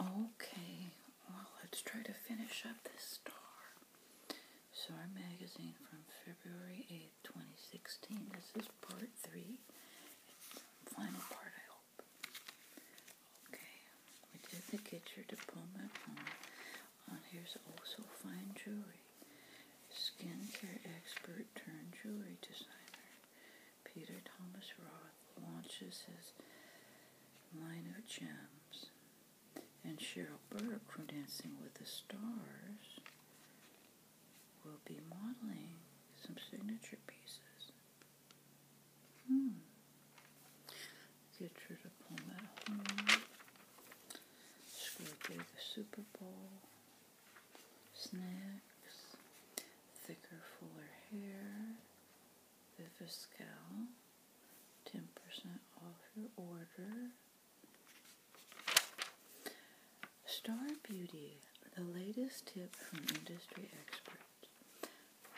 Okay, well, let's try to finish up this star. So, our Magazine from February 8, 2016. This is part three. Final part, I hope. Okay, we did the Get Your Diploma on. here's also fine jewelry. Skincare expert turned jewelry designer. Peter Thomas Roth launches his line of gems, and Cheryl Burke from Dancing with the Stars will be modeling some signature pieces. Hmm. at home. Super Bowl. Snacks thicker, fuller hair. Viviscal, 10% off your order. Star Beauty, the latest tip from industry experts.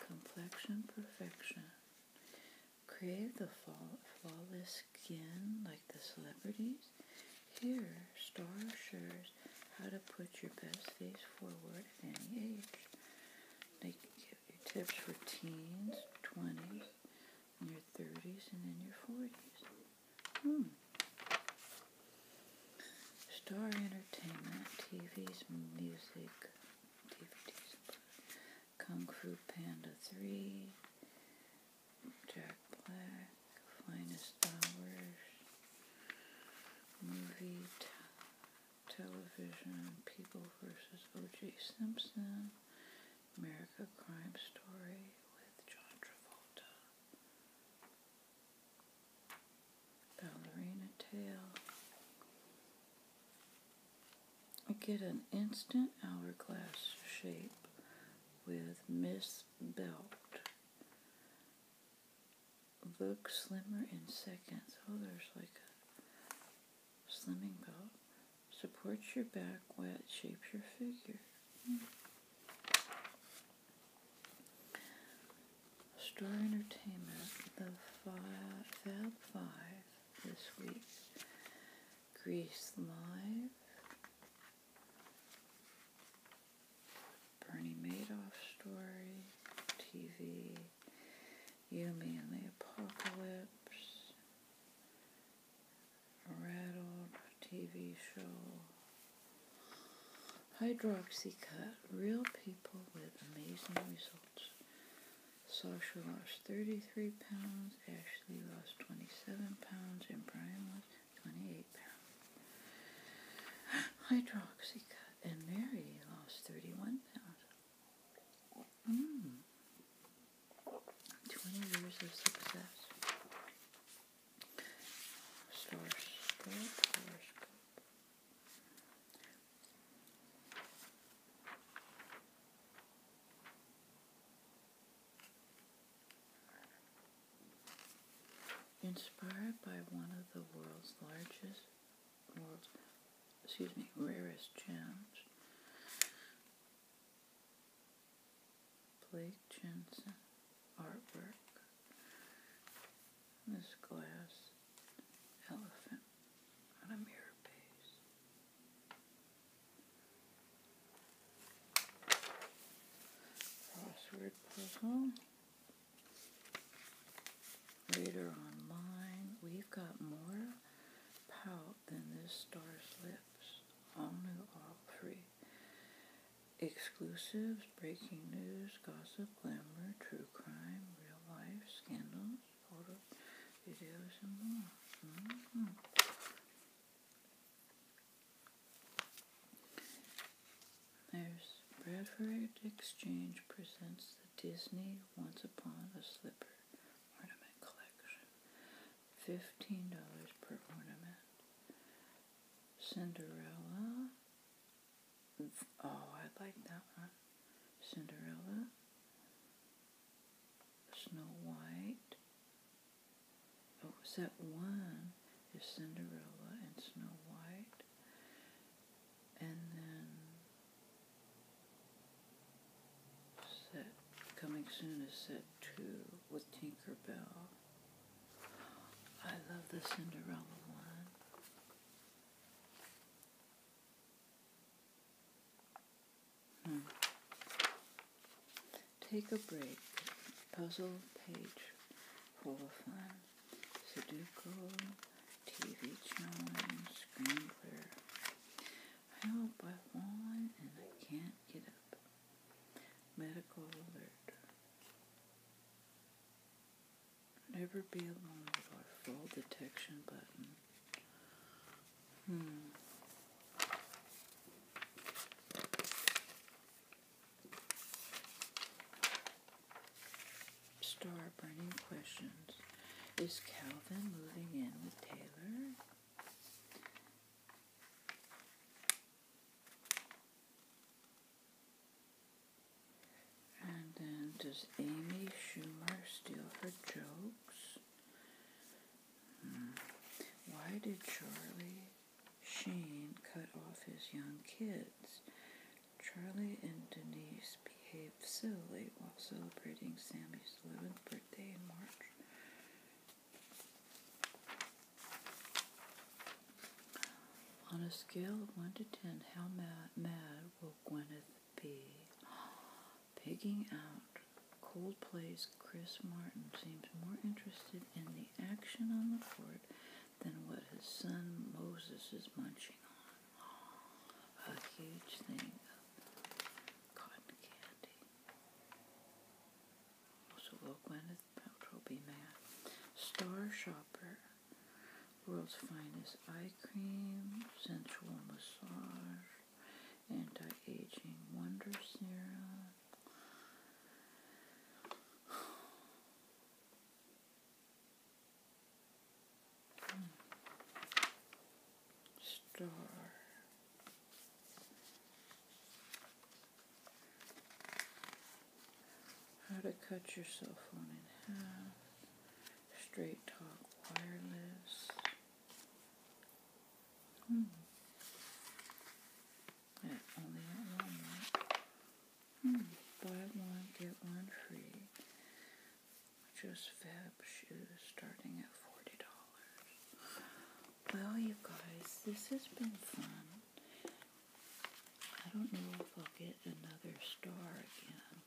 Complexion perfection. Crave the flawless skin like the celebrities? Here, Star shares how to put your best face forward at any age. They give you tips for teens, 20s, and your 30s, and then your 40s. Hmm. Star Entertainment, TV's music, DVDs, Kung Fu Panda 3, Jack Black, Finest Hours, movie, television, People versus O.J. Simpson, America Crime Story with John Travolta, Ballerina Tale. Get an instant hourglass shape with Miss Belt look slimmer in seconds. Oh, there's like a slimming belt. Supports your back while it shapes your figure. Mm. Entertainment, the Fab Five this week. Greece Live. Bernie Madoff story, TV, You, Me, and the Apocalypse, Rattled TV show, Hydroxy cut, Real People with Amazing Results. Sasha lost 33 pounds, Ashley lost 27 pounds, and Brian lost 28 pounds. Hydroxy and Mary lost 31 pounds. Hmm. 20 years of success. Inspired by one of the world's largest, world's, excuse me, rarest gems, Blake Jensen artwork, this glass elephant on a mirror. crossword puzzle. Later Online, we've got more pout than this star's lips. All new, all free. Exclusives, breaking news, gossip, glamour, true crime, real life, scandals, photos, videos, and more. Mm-hmm. There's Bradford Exchange presents the Disney Once Upon a Slipper Ornament Collection. $15 per ornament. Cinderella. Oh, I like that one. Cinderella. Snow White. Oh, set one is Cinderella and Snow White. And then set coming soon is set two with Tinker Bell. I love the Cinderella one. Hmm. Take a break. Puzzle page full of fun. Sudoku, TV channel screen clear. I hope I've and I can't get up. Medical alert. Never be alone Fall detection button. Hmm. Star burning questions. Is Calvin moving in with Taylor? And then does Amy Schumer steal her jokes? Hmm. Why did Charlie Shane cut off his young kids. Charlie and Denise behaved silly while celebrating Sammy's 11th birthday in March. On a scale of 1 to 10, how mad, will Gwyneth be? Pigging out Coldplay's Chris Martin seems more interested in the action on the court than what his son Moses is munching on. A huge thing of cotton candy. So will Gwyneth Star Shopper. World's finest eye cream, sensual massage, anti-aging wonder serum, Star. How to cut your cell phone in half. Straight talk wireless. Hmm. I only want one, Hmm, buy one, get one free. Just fab shoes starting at $40. Well, you guys, this has been fun. I don't know if I'll get another star again.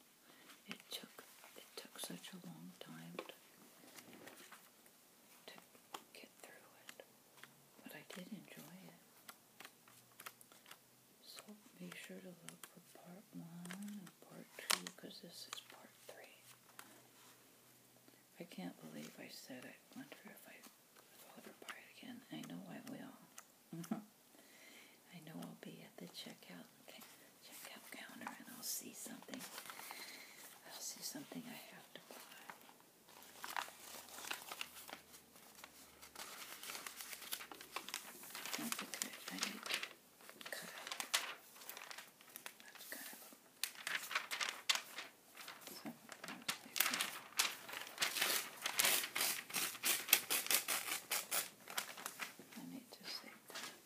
It took, it took such a long time to get through it. But I did enjoy it. So be sure to look for part one and part two because this is part three. I can't believe I said I wonder if, I, if I'll ever buy it again. I know I will. I know I'll be at the checkout counter and I'll see something. I'll see something I have to buy. That's okay. I need to cut out. That's kind of so, I need to save that.